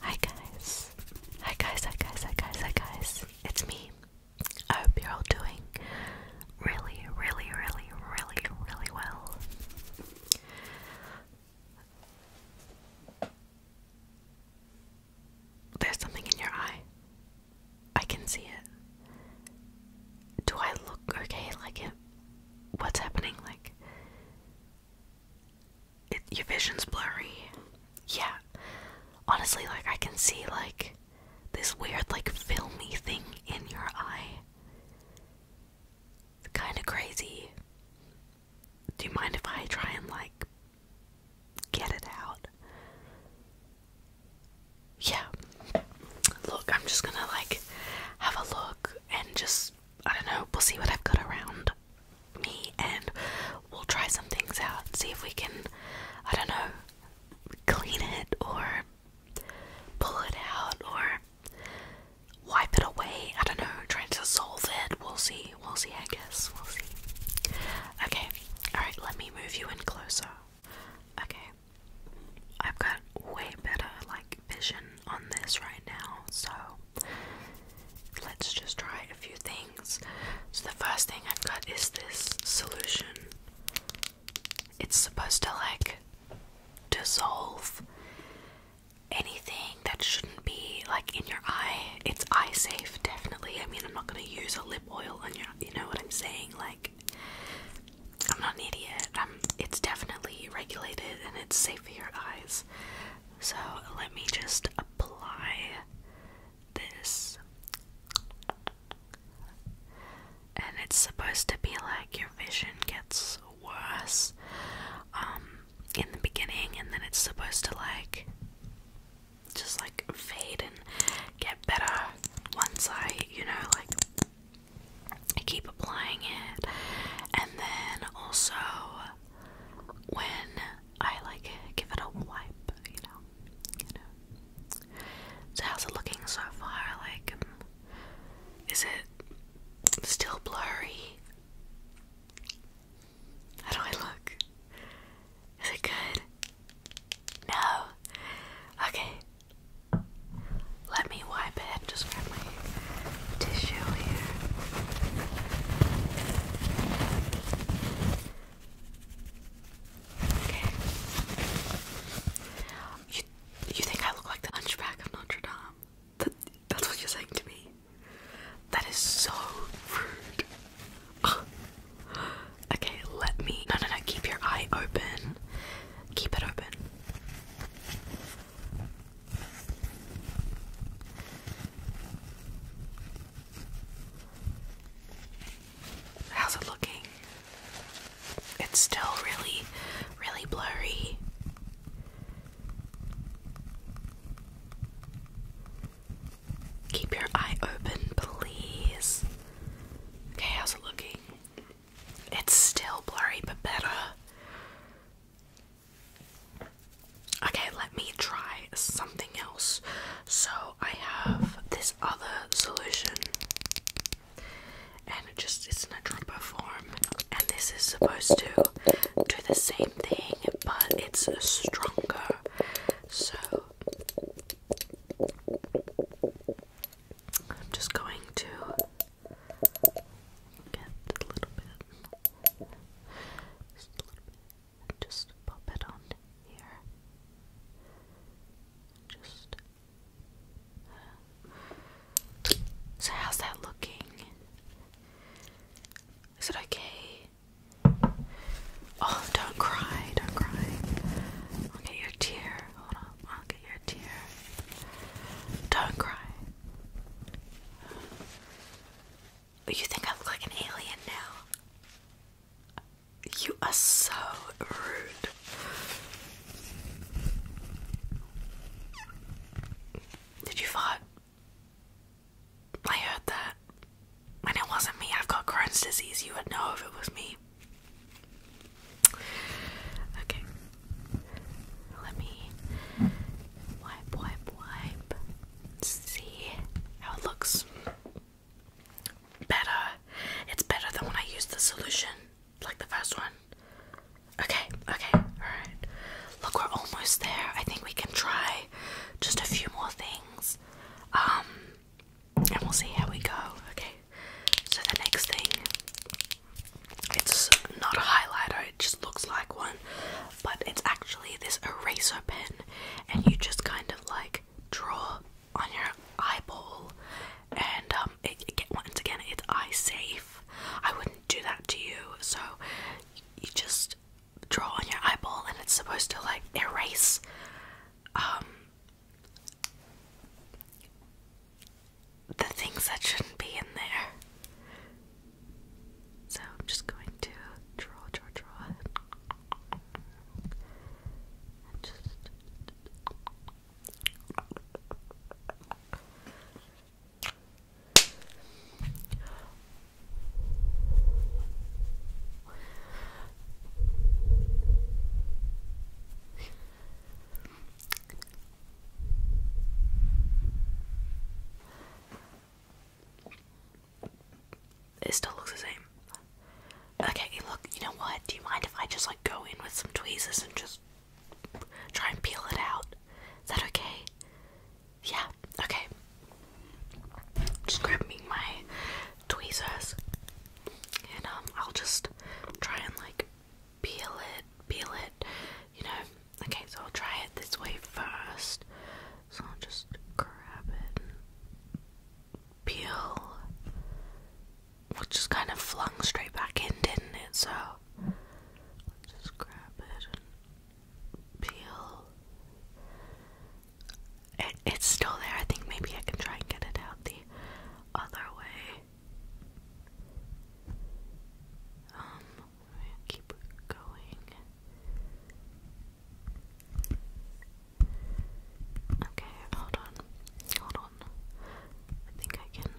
Hi guys. Hi guys, hi guys, hi guys, hi guys. It's me. I hope you're all doing really, really, really, really, really well. There's something in your eye. I can see it. Do I look okay like it? What's happening? Like, your vision's blurry. Yeah. Honestly, like, I can see, like, this weird, like, filmy thing in your eye. It's kind of crazy. Do you mind if I try and, like, get it out? yeah look i'm just gonna like have a look and just i don't know we'll see what i've got around me and we'll try some things out see if we can i don't know clean it or pull it out or wipe it away i don't know trying to solve it we'll see we'll see i guess we'll see okay alright, let me move you in closer. Okay, I've got way better like vision on this right now, so let's just try a few things. So, the first thing I've got is this solution, it's supposed to like dissolve anything that shouldn't be like in your eye it's eye safe, definitely. I mean, I'm not gonna use a lip oil on your, you know what I'm saying? Like, I'm not an idiot. it's definitely regulated and it's safe for your eyes. So let me just apply this. And it's supposed to be like your vision gets worse um, in the beginning, and then it's supposed to like just like fade and get better once I, you know, like I keep applying it. And then also when I like give it a wipe, you know, you know. So how's it looking so far? Like, is it still blurry? How do I look? Is it good? No. Okay. Let me wipe it. Just grab my tissue here. Okay. You, you think I look like the hunchback of Notre Dame? That, that's what you're saying to me. That is so rude. okay, let me. No, no, no. Keep your eye open. Keep it open. How's it looking? It's still really, really blurry. Keep your eye open, please. Okay, how's it looking? It's still blurry, but better. Okay, let me try something else. So, I have this other solution, and it just isn't a dropper form, and this is supposed to do the same thing, but it's stronger. So I'm just going to get a little bit, just pop it on here. Just. Uh, so how's that looking? Is it okay? Oh, don't cry, don't cry. I'll get your tear. Hold on, I'll get your tear. Don't cry. You think I look like an alien now? You are so rude. Did you fart? I heard that. And it wasn't me. I've got Crohn's disease. You would know if it was me. Okay. Let me wipe, wipe, wipe. see how it looks. Better. It's better than when I used the solution like the first one? Okay, okay, alright. Look, we're almost there. I think we can try just a few more things. Um, and we'll see how we go. Okay, so the next thing, it's not a highlighter, it just looks like one, but it's actually this eraser pen, and you just kind of like draw on your eyeball, and um, once again it's eye safe i wouldn't do that to you so you just draw on your eyeball and it's supposed to like erase um, the things that shouldn't be in there so i'm just going to draw draw draw and just it still looks the same. Okay, look, you know what? Do you mind if I just like go in with some tweezers and just try and peel it out? Is that okay? Yeah, okay. Just grab me my tweezers and um I'll just try and like peel it, peel it, you know. Okay, so I'll try it this way first. So I'll just grab it peel was just kind of flung straight back in, didn't it? So just grab it and peel. it's still there. I think maybe I can try and get it out the other way. Um, keep going. Okay, hold on. Hold on. I think I can.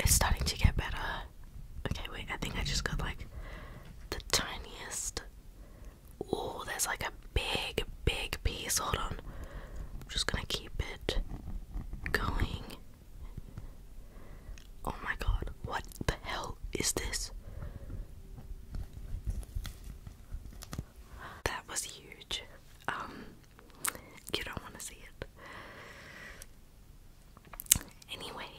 It's starting to get better. Okay, wait, I think I just got like the tiniest. Oh, there's like a big, big piece. Hold on. I'm just gonna keep it going. Oh my god, what the hell hell is this? That was huge. Um, you don't want to see it. Anyway,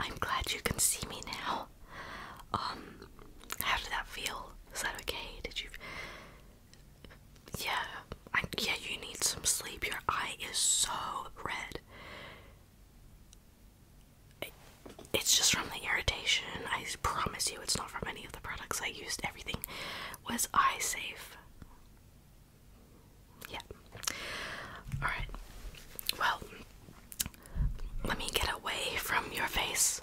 I'm glad you can see me now. Um, how did that feel? Is that okay? Did you? Yeah, yeah. You need some sleep. Your eye is so red it's just from the irritation. I promise you, it's not from any of the products I used. Everything was eye safe. Yeah. Alright. Well, let me get away from your face.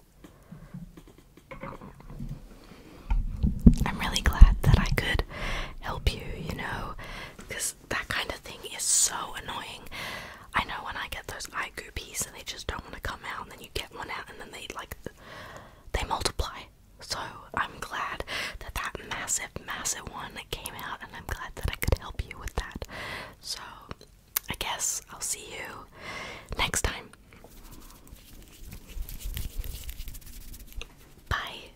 I'm really glad that I could help you, you know, because that kind of thing is so annoying. I know when I get those eye goopies and they just don't want to come out, and then you get one out, and then they like they multiply. So I'm glad that that massive, massive one came out, and I'm glad that I could help you with that. So I guess I'll see you next time. Bye.